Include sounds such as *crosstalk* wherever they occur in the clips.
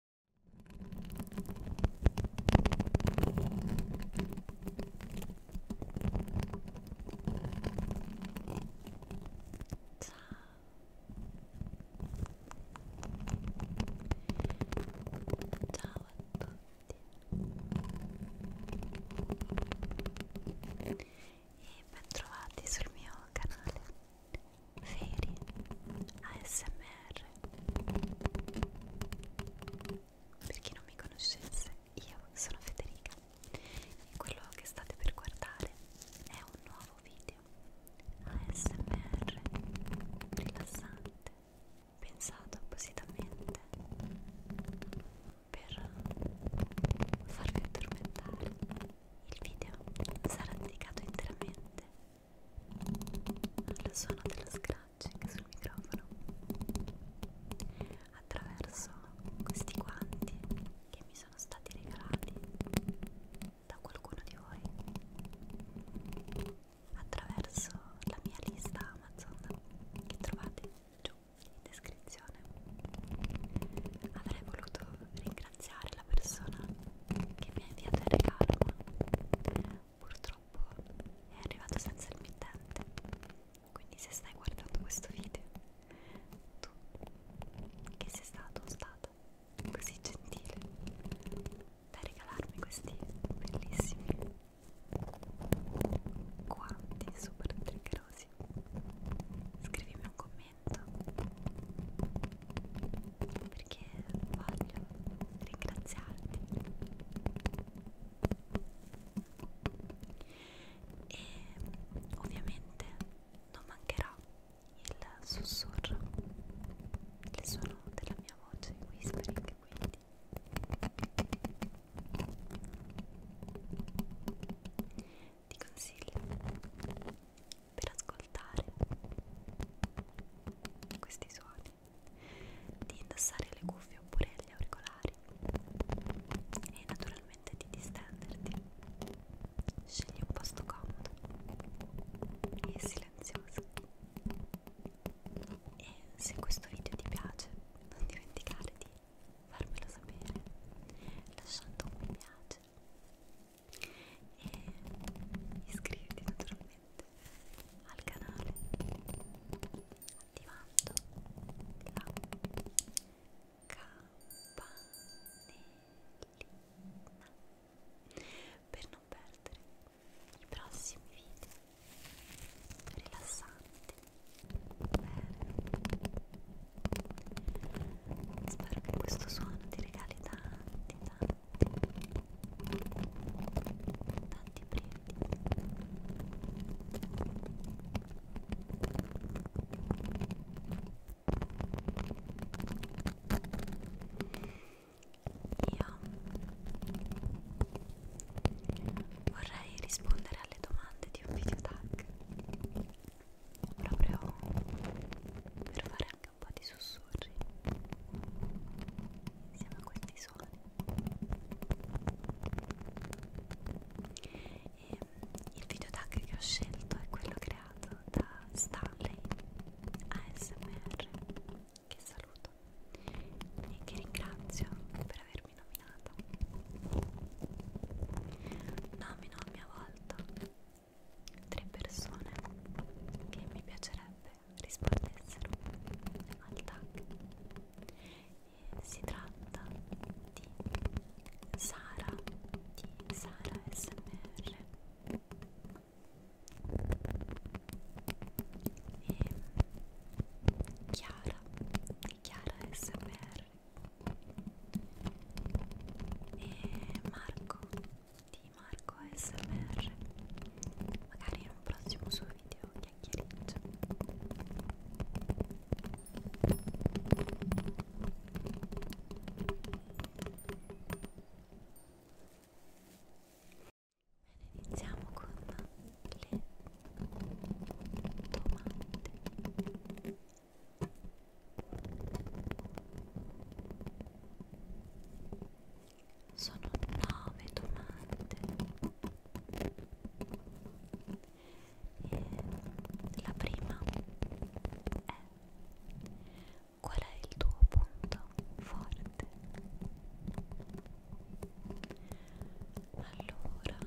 Ciao a tutti e ben trovati sul mio canale Ferie ASMR Per chi non mi conoscesse, io sono Federica e quello che state per guardare è un nuovo video ASMR rilassante pensato appositamente per farvi addormentare il video sarà dedicato interamente al suono dello scratching sul microfono attraverso questi guanti che mi sono stati regalati da qualcuno di voi attraverso la mia lista Amazon che trovate giù in descrizione avrei voluto ringraziarvi ringraziare la persona che mi ha inviato il regalo ma purtroppo è arrivato senza il mittente quindi se stai guardando questo video tu che sei stato o stata così gentile da regalarmi questi bellissimi guanti super triggerosi scrivimi un commento momento perché voglio ringraziarti e ovviamente non mancherà il sussurro il suono della mia voce whispering quindi ti consiglio per ascoltare questi suoni, di indossare le cuffie oppure gli auricolari e naturalmente di distenderti. Scegli un posto comodo e silenzioso. E se questo video ti piace, non dimenticare di farmelo sapere lasciando un mi piace e iscriviti naturalmente al canale attivando la campanellina per non perdere i prossimi video rilassanti bene Spero che questo suono ti regali tanti, tanti, tanti brividi. Io vorrei rispondere alle domande di un video tag proprio per fare anche un po' di sussurri insieme a questi suoni e il video tag che ho scelto è quello creato da Stanley ASMR che saluto e che ringrazio per avermi nominato nomino a mia volta tre persone che mi piacerebbe rispondessero al tag. E si tratta di Sara di Sara SMR e Chiara di Chiara SMR Star e eh, Marco di Marco SMR magari in un prossimo suo video chiacchiericcio Bene, iniziamo con le domande sono nove domande e la prima è qual è il tuo punto forte? Allora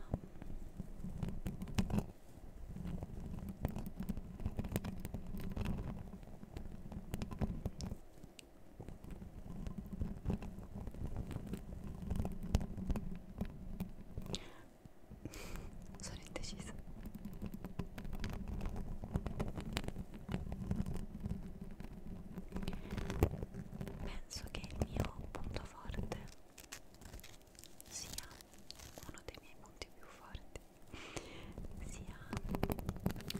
sono indecisa. Penso che il mio punto forte sia uno dei miei punti più forti sia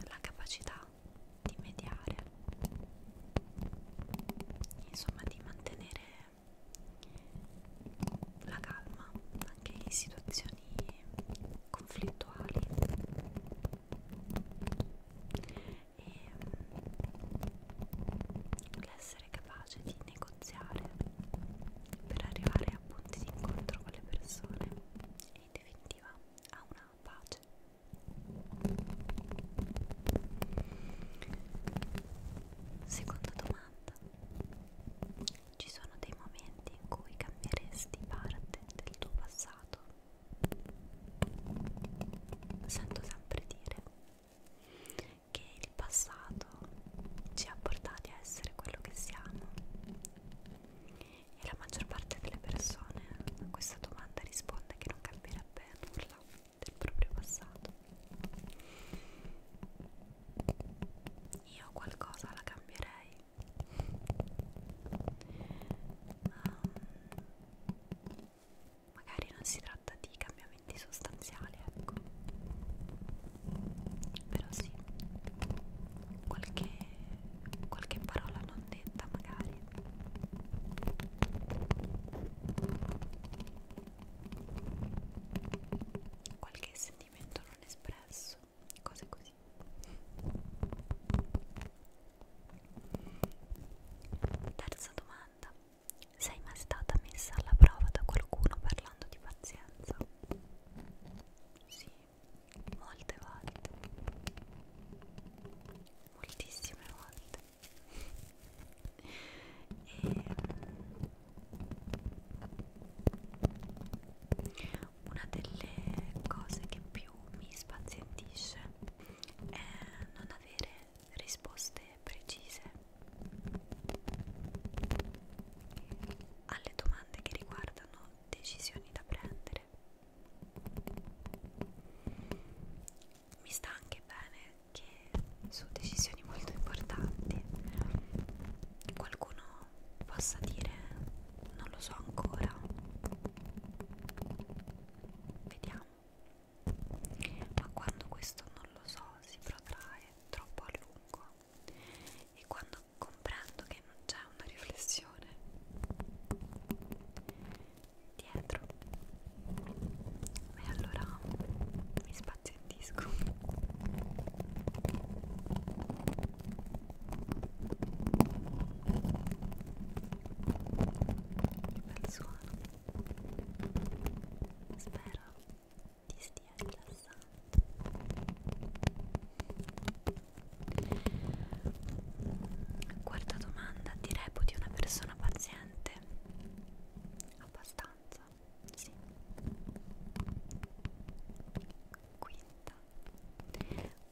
la capacità di mediare insomma di mantenere la calma anche in situazioni conflittuali e l'essere mm, essere capace di negoziare per arrivare a punti di incontro con le persone e in definitiva a una pace. Seconda domanda. Ci sono dei momenti in cui cambieresti parte del tuo passato? Sento sempre dire che il passato ci ha portati a essere quello che siamo e la maggior parte delle persone a questa domanda risponde che non cambierebbe nulla del proprio passato io qualcosa la cambierei um, magari non si tratta di cambiamenti sostanziali, ecco. Però sì, qualche, qualche parola non detta magari. Qualche sentimento non espresso, cose così. Terza domanda. Sei mai stata messa alla prova da qualcuno parlando di pazienza? Sì, molte volte, moltissime volte. E ehm, una delle cose che più mi spazientisce è non avere risposte e precise alle domande che riguardano decisioni da prendere. Mi sta anche bene che su decisioni molto importanti qualcuno possa dire non lo so ancora. Vediamo ma quando questo non lo so si protrae troppo a lungo e quando comprendo che non c'è una riflessione dietro e allora mi spazientisco bel suono Spero ti stia rilassando. Quarta domanda, ti reputi una persona paziente? Abbastanza, sì. Quinta,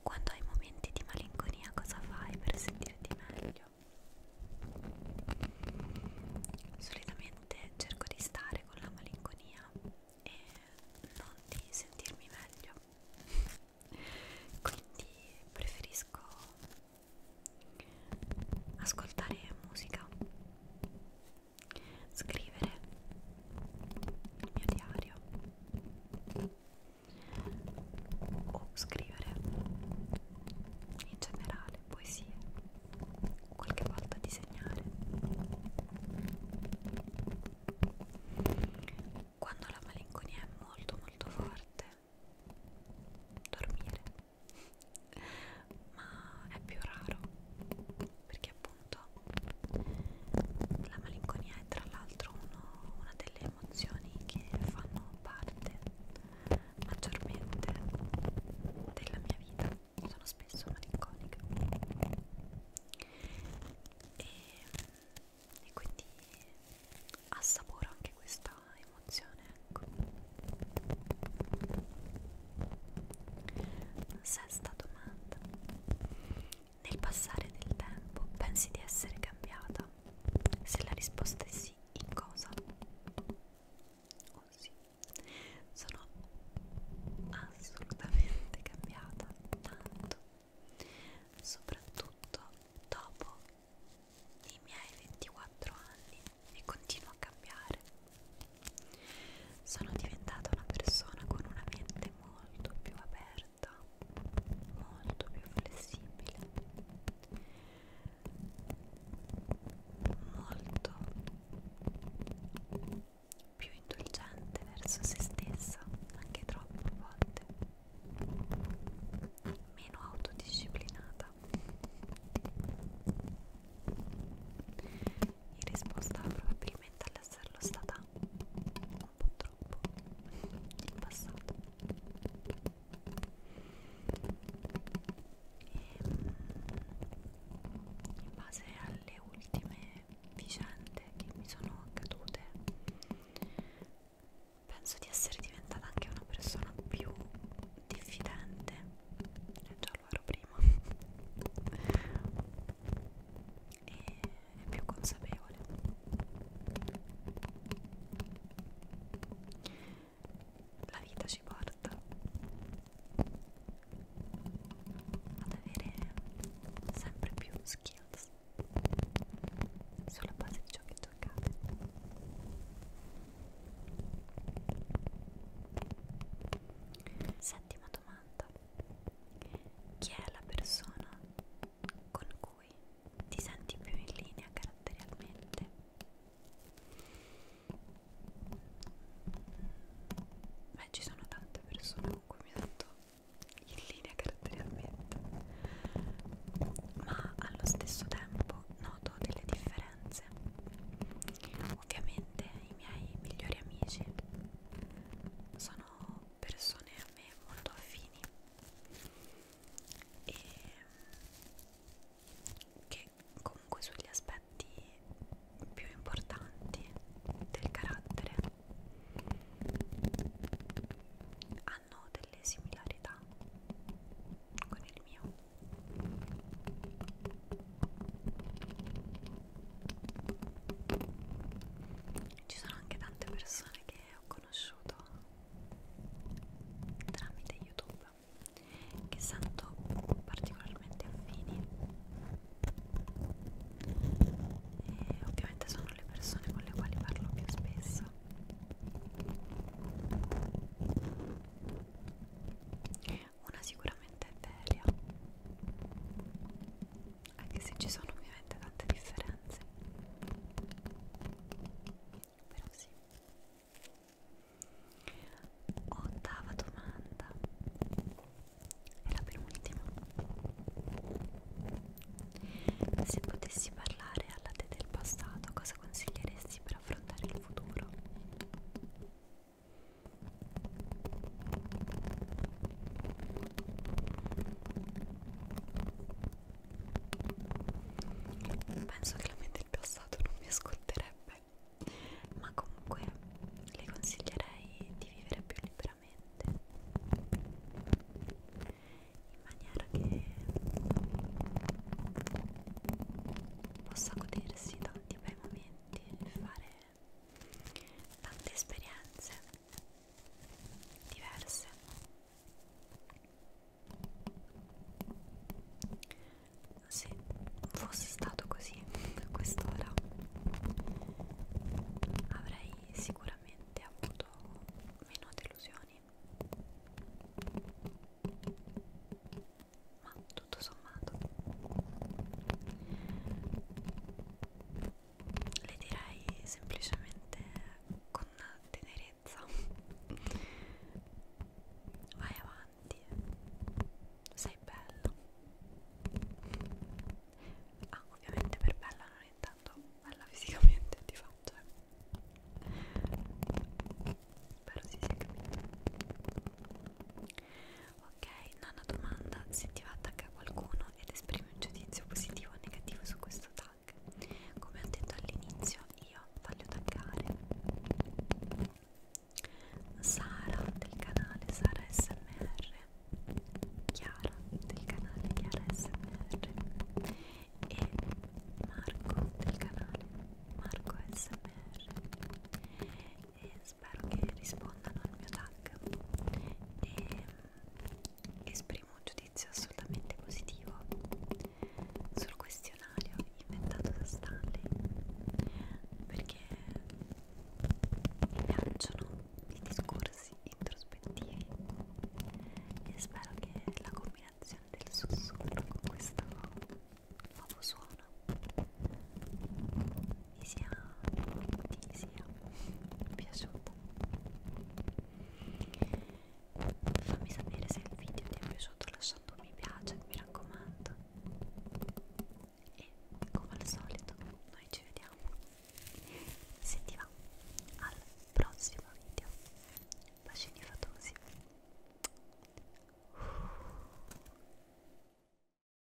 quando hai momenti di malinconia cosa fai per sentirti meglio? meglio solitamente cerco di stare con la malinconia e non di sentirmi meglio quindi preferisco ascoltare musica scrivere il mio diario o scrivere in generale poesie, qualche volta disegnare. Quando la malinconia è molto molto forte, dormire, *laughs* ma è più raro perché appunto la malinconia è tra l'altro una delle emozioni che fanno parte maggiormente della mia vita sono spesso malinconica e, e quindi assaporo anche questa emozione ecco sesta domanda nel passare del tempo pensi di essere cambiata se la risposta è sì, in cosa? Oh sì, sono assolutamente cambiata tanto, soprattutto dopo i miei 24 anni e continuo a cambiare. Sono diventata una persona con una mente molto più aperta libertà molto più flessibile molto più indulgente verso se stessa anche troppe volte meno autodisciplinata in risposta probabilmente all'esserlo stata ricordo un po' troppo il passato e in base alle ultime vicende che mi sono accadute penso di essere diventata anche una persona più diffidente e già lo ero prima e è più consapevole. La vita ci porta ad avere sempre più skills sulla base di ciò che toccate. Settima domanda. Chi è la persona con cui ti senti più in linea caratterialmente beh ci sono tante persone con cui mi sento in linea caratterialmente ma allo stesso tempo noto delle differenze ovviamente i miei migliori amici sono persone a me molto affini e che comunque sugli aspetti più importanti del carattere hanno delle similarità con il mio ci sono anche tante persone che ho conosciuto tramite YouTube che sento particolarmente affini e ovviamente sono le persone con le quali parlo più spesso una sicuramente è Delia anche se ci sono ovviamente tante differenze però sì ottava domanda è la penultima se potessi parlare alla te del passato cosa consiglieresti per affrontare il futuro? Penso che la mente del passato non mi ascolterebbe, ma comunque le consiglierei di vivere più liberamente in maniera che possa godersi tanti bei momenti e fare tante esperienze diverse se fosse stato così a quest'ora avrei sicuramente avuto meno delusioni ma tutto sommato le direi semplicemente con tenerezza vai avanti sei bella ah ovviamente per bella non è tanto bella fisicamente di fatto eh. però si sì, si sì, è capito ok? Nona domanda, se ti va attacca qualcuno ed esprimi un giudizio positivo o negativo su questo tag. Come ho detto all'inizio, io voglio taggare Sara del canale Sara SMR, Chiara del canale Chiara SMR e Marco del canale Marco SMR e spero che rispondano al mio tag e esprimo un giudizio assolutamente positivo sul questionario inventato da Stanley perché mi piacciono i discorsi introspettivi e spero che la combinazione del sussurro con questo nuovo suono ti sia, ti sia piaciuto fammi sapere se il video ti è piaciuto lasciando un mi piace mi raccomando e come al solito noi ci vediamo se ti va al prossimo video bacini fatosi